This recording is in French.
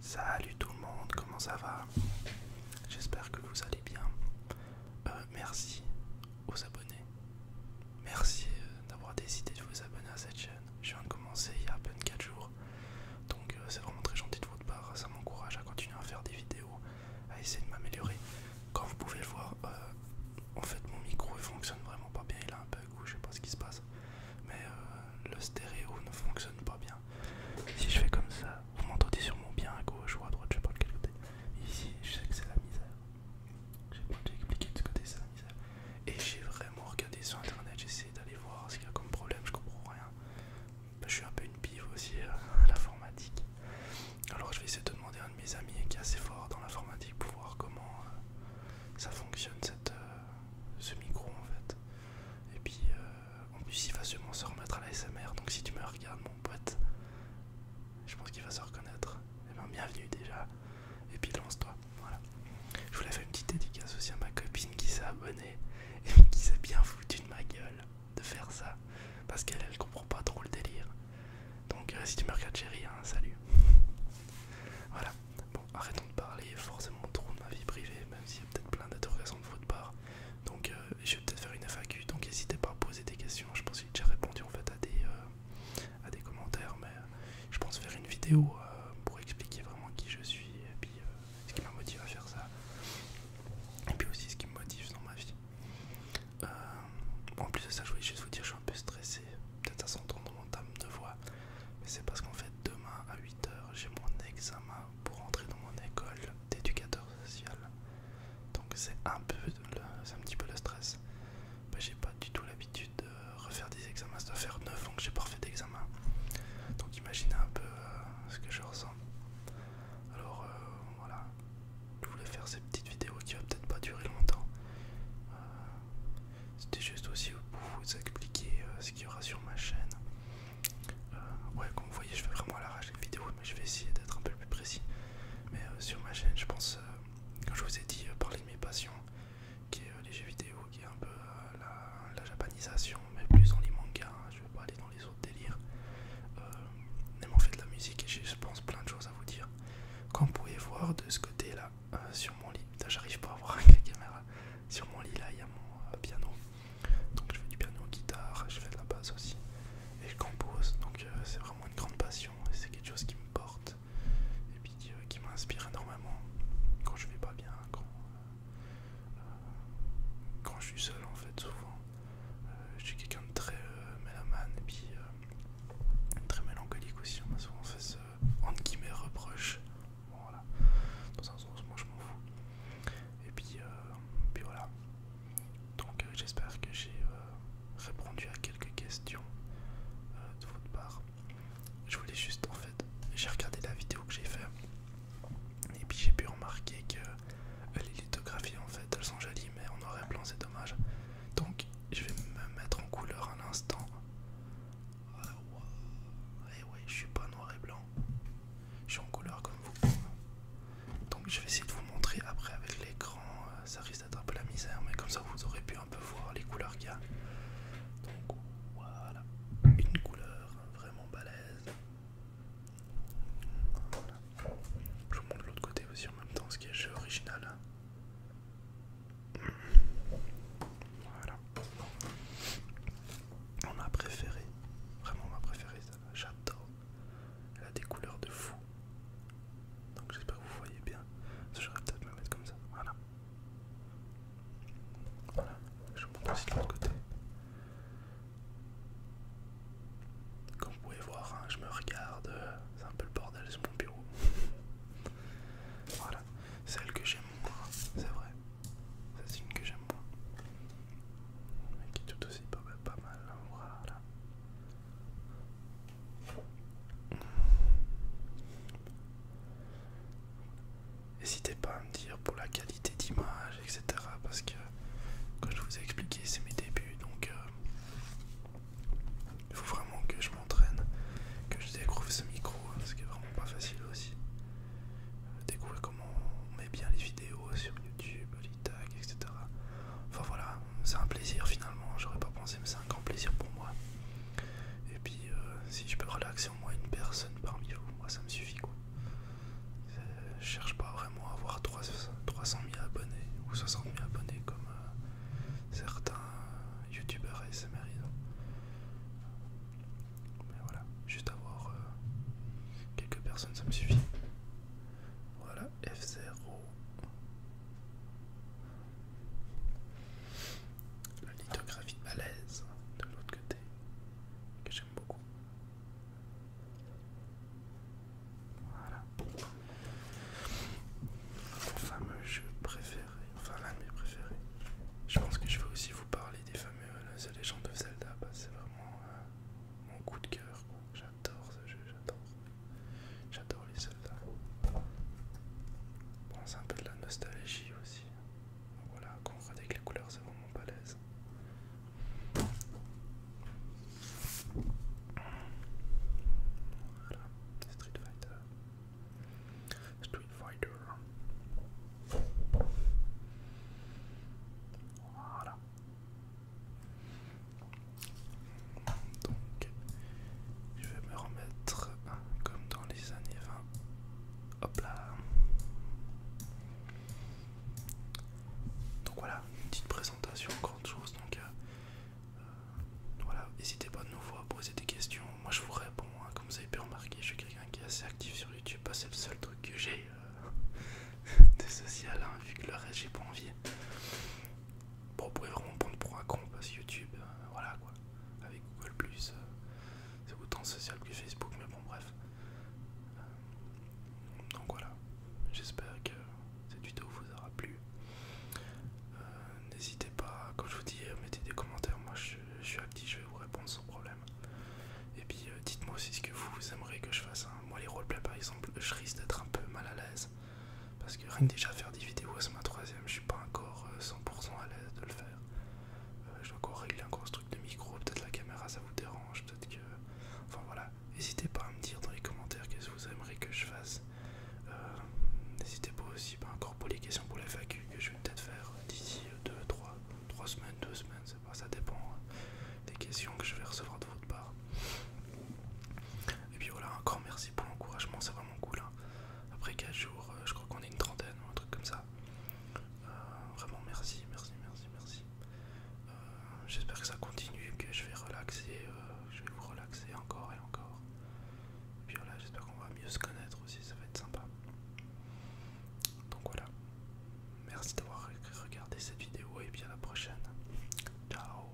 Salut tout le monde, comment ça va J'espère que vous allez bien. Euh, merci aux abonnés. Merci euh, d'avoir décidé de vous abonner à cette chaîne. Je viens de commencer il y a à peine 4 jours. Donc euh, c'est vraiment très gentil de votre part. Ça m'encourage à continuer à faire des vidéos, à essayer de m'améliorer. Comme vous pouvez le voir, en fait mon micro fonctionne vraiment pas bien. Il a un bug ou je sais pas ce qui se passe mais euh, le stéréo ne fonctionne pas bien. Si je fais comme ça, vous m'entendez mon bien à gauche ou à droite, je sais pas de quel côté. Ici, je sais que c'est la misère. J'ai pas expliqué de ce côté, c'est la misère. Et j'ai vraiment regardé sur internet, j'ai essayé d'aller voir ce qu'il y a comme problème, je comprends rien. je suis un peu une pive aussi euh, à l'informatique. Alors je vais essayer de demander à un de mes amis qui est assez fort dans l'informatique pour voir comment euh, ça fonctionne cette, euh, ce micro en fait. Et puis euh, en plus il va se remettre à la SMR, donc si tu me regardes mon pote, je pense qu'il va se reconnaître. Et eh bien bienvenue déjà. Et puis lance-toi. Voilà. Je voulais faire une petite dédicace aussi à ma copine qui s'est abonnée et qui s'est bien foutue de ma gueule de faire ça. Parce qu'elle elle comprend pas trop le délire. Donc euh, si tu me regardes chérie, hein, salut. voilà. Bon, arrêtons de parler forcément trop de ma vie privée, même s'il y a peut-être plein d'interrogations de votre part. Donc, euh, je vais peut-être faire une FAQ, donc n'hésitez pas à poser des questions. Je pense que j'ai déjà répondu en fait à des, euh, à des commentaires, mais euh, je pense faire une vidéo pour expliquer vraiment qui je suis et puis ce qui m'a motivé à faire ça. Et puis aussi ce qui me motive dans ma vie. en plus de ça, je voulais juste vous dire, un peu stressé, peut-être à s'entendre dans mon de voix, mais c'est parce qu'en fait demain à 8h j'ai mon examen pour entrer dans mon école d'éducateur social. Donc c'est un peu un petit peu le stress. j'ai pas du tout l'habitude de refaire des examens, ça doit faire 9 ans que j'ai pas refait d'examen. Donc imaginez un peu euh, ce que je ressens. Alors euh, voilà, je voulais faire cette petite vidéo qui va peut-être pas durer longtemps. C'était juste aussi pour vous expliquer euh, ce qu'il y aura sur ma chaîne. Euh, ouais, comme vous voyez, je fais vraiment à l'arrache de vidéos, mais je vais essayer d'être un peu plus précis. Mais euh, sur ma chaîne, je pense, quand comme je vous ai dit, parler de mes passions, qui est les jeux vidéo, qui est un peu la, japanisation, mais plus dans les mangas. Hein. je vais pas aller dans les autres délires. mais même fait de la musique, et j'ai, je pense, plein de choses à vous dire. Comme vous pouvez voir de ce côté là, euh, sur mon lit, j'arrive pas à voir avec la caméra, sur mon lit là il y a mon euh, piano. Donc je fais du piano, guitare, je fais de la basse aussi. Et je compose, donc euh, c'est vraiment une grande passion et c'est quelque chose qui me porte et puis qui m'inspire énormément quand je vais pas bien, quand je suis seul en fait souvent. Euh, je suis quelqu'un de très euh, mélamane et puis euh, très mélancolique aussi. On m'a souvent fait ce entre guillemets reproche. Bon, voilà, dans un sens, moi je m'en fous. Et puis, voilà. Donc, j'espère que j'ai répondu à quelques questions de votre part. Je voulais juste en fait, j'ai regardé la vidéo que j'ai faite, et puis j'ai pu remarquer que les lithographie en fait elles sont jolies mais en noir et blanc c'est dommage donc je vais me mettre en couleur un instant. et euh, eh ouais, je suis pas noir et blanc je suis en couleur comme vous donc je vais essayer de vous montrer après avec l'écran euh, ça risque d'être un peu la misère mais comme ça vous aurez pu un peu voir les couleurs qu'il y a donc voilà une couleur vraiment balèze je vous montre l'autre côté aussi en même temps, ce qui est original. Voilà. On a préféré. Vraiment on m'a préféré ça. J'adore. Elle a des couleurs de fou. Donc j'espère que vous voyez bien. J'aurais peut-être me mettre comme ça. Voilà. Voilà. Je vous aussi de l'autre côté. Comme vous pouvez voir, hein, je me regarde, euh, c'est un peu le bordel sur mon bureau. voilà, celle que j'aime moins, c'est vrai. C'est une que j'aime moins. Mais qui est tout aussi pas, mal, hein, voilà. N'hésitez pas à me dire pour laquelle d'image, etc. Parce que, comme je vous ai expliqué, c'est mes débuts, donc euh, il faut vraiment que je m'entraîne, que je découvre ce micro, hein, parce ce qui est vraiment pas facile aussi. Euh, découvrir comment on met bien les vidéos sur YouTube, les tags, etc. Enfin voilà, c'est un plaisir finalement, j'aurais pas pensé, mais c'est un grand plaisir pour moi. Et puis, euh, si je peux relaxer au moins une personne parmi vous, moi ça me suffit quoi. Euh, je cherche pas vraiment à avoir 300 000 abonnés ou 60 000 abonnés comme euh, certains youtubeurs ASMR. Mais voilà, juste avoir euh, quelques personnes, ça me suffit. Voilà, F0. La lithographie de malaise de l'autre côté, que j'aime beaucoup. Voilà. Mon fameux jeu préféré, enfin l'un de mes préférés. Je pense que je vais aussi vous parler des fameux The Legend of Zelda. C'est vraiment euh, mon coup de cœur. J'adore ce jeu, j'adore. J'adore les Zelda. Bon, C'est un peu de la nostalgie aussi. Voilà, quand on les couleurs, c'est vraiment balèze. Voilà, Street Fighter. Street Fighter. Voilà. Donc, je vais me remettre hein, comme dans les années 20 Hop là. Donc voilà, une petite présentation, grande chose. Donc euh, euh, voilà, n'hésitez pas de nouveau à poser des questions. Moi je vous réponds, hein, comme vous avez pu remarquer, je suis quelqu'un qui est assez actif sur YouTube. Bah, c'est le seul truc que j'ai euh, de social, hein, vu que le reste j'ai pas envie. Bon, vous pouvez vraiment prendre pour un con parce YouTube, voilà quoi avec Google Plus. Euh, c'est autant social que Facebook, mais bon bref. Euh, donc voilà, j'espère que cette vidéo vous aura plu. Euh, n'hésitez pas, comme je vous dis, mettez des commentaires, moi je, suis actif, je vais vous répondre sans problème. Et puis dites-moi aussi ce que vous, aimeriez que je fasse. Hein. Moi les roleplays par exemple, je risque d'être un peu mal à l'aise. Parce que rien que déjà faire des vidéos, c'est ma troisième, je suis pas encore 100% à l'aise de le faire. Euh, je dois encore régler un truc de micro, peut-être la caméra ça vous dérange, peut-être que... Enfin voilà, n'hésitez pas à me dire dans les commentaires qu'est-ce que vous aimeriez que je fasse. Euh, n'hésitez pas aussi, bah, encore pour les questions pour les FAQ que je vais peut-être faire d'ici 2, 3, 3 semaines, 2 semaines, c'est pas, ça dépend hein, des questions que je vais recevoir de votre part. Et puis voilà, encore merci pour l'encouragement, c'est vraiment cool. Hein. Après 4 jours, euh, je crois qu'on est une trentaine ou un truc comme ça. Euh, vraiment merci, merci, merci, merci. Euh, j'espère que ça continue, que je vais relaxer, je vais vous relaxer encore et encore. Et puis voilà, j'espère qu'on va mieux se connaître aussi, ça va être sympa. Donc voilà, merci d'avoir regardé cette vidéo et puis à la prochaine. Ciao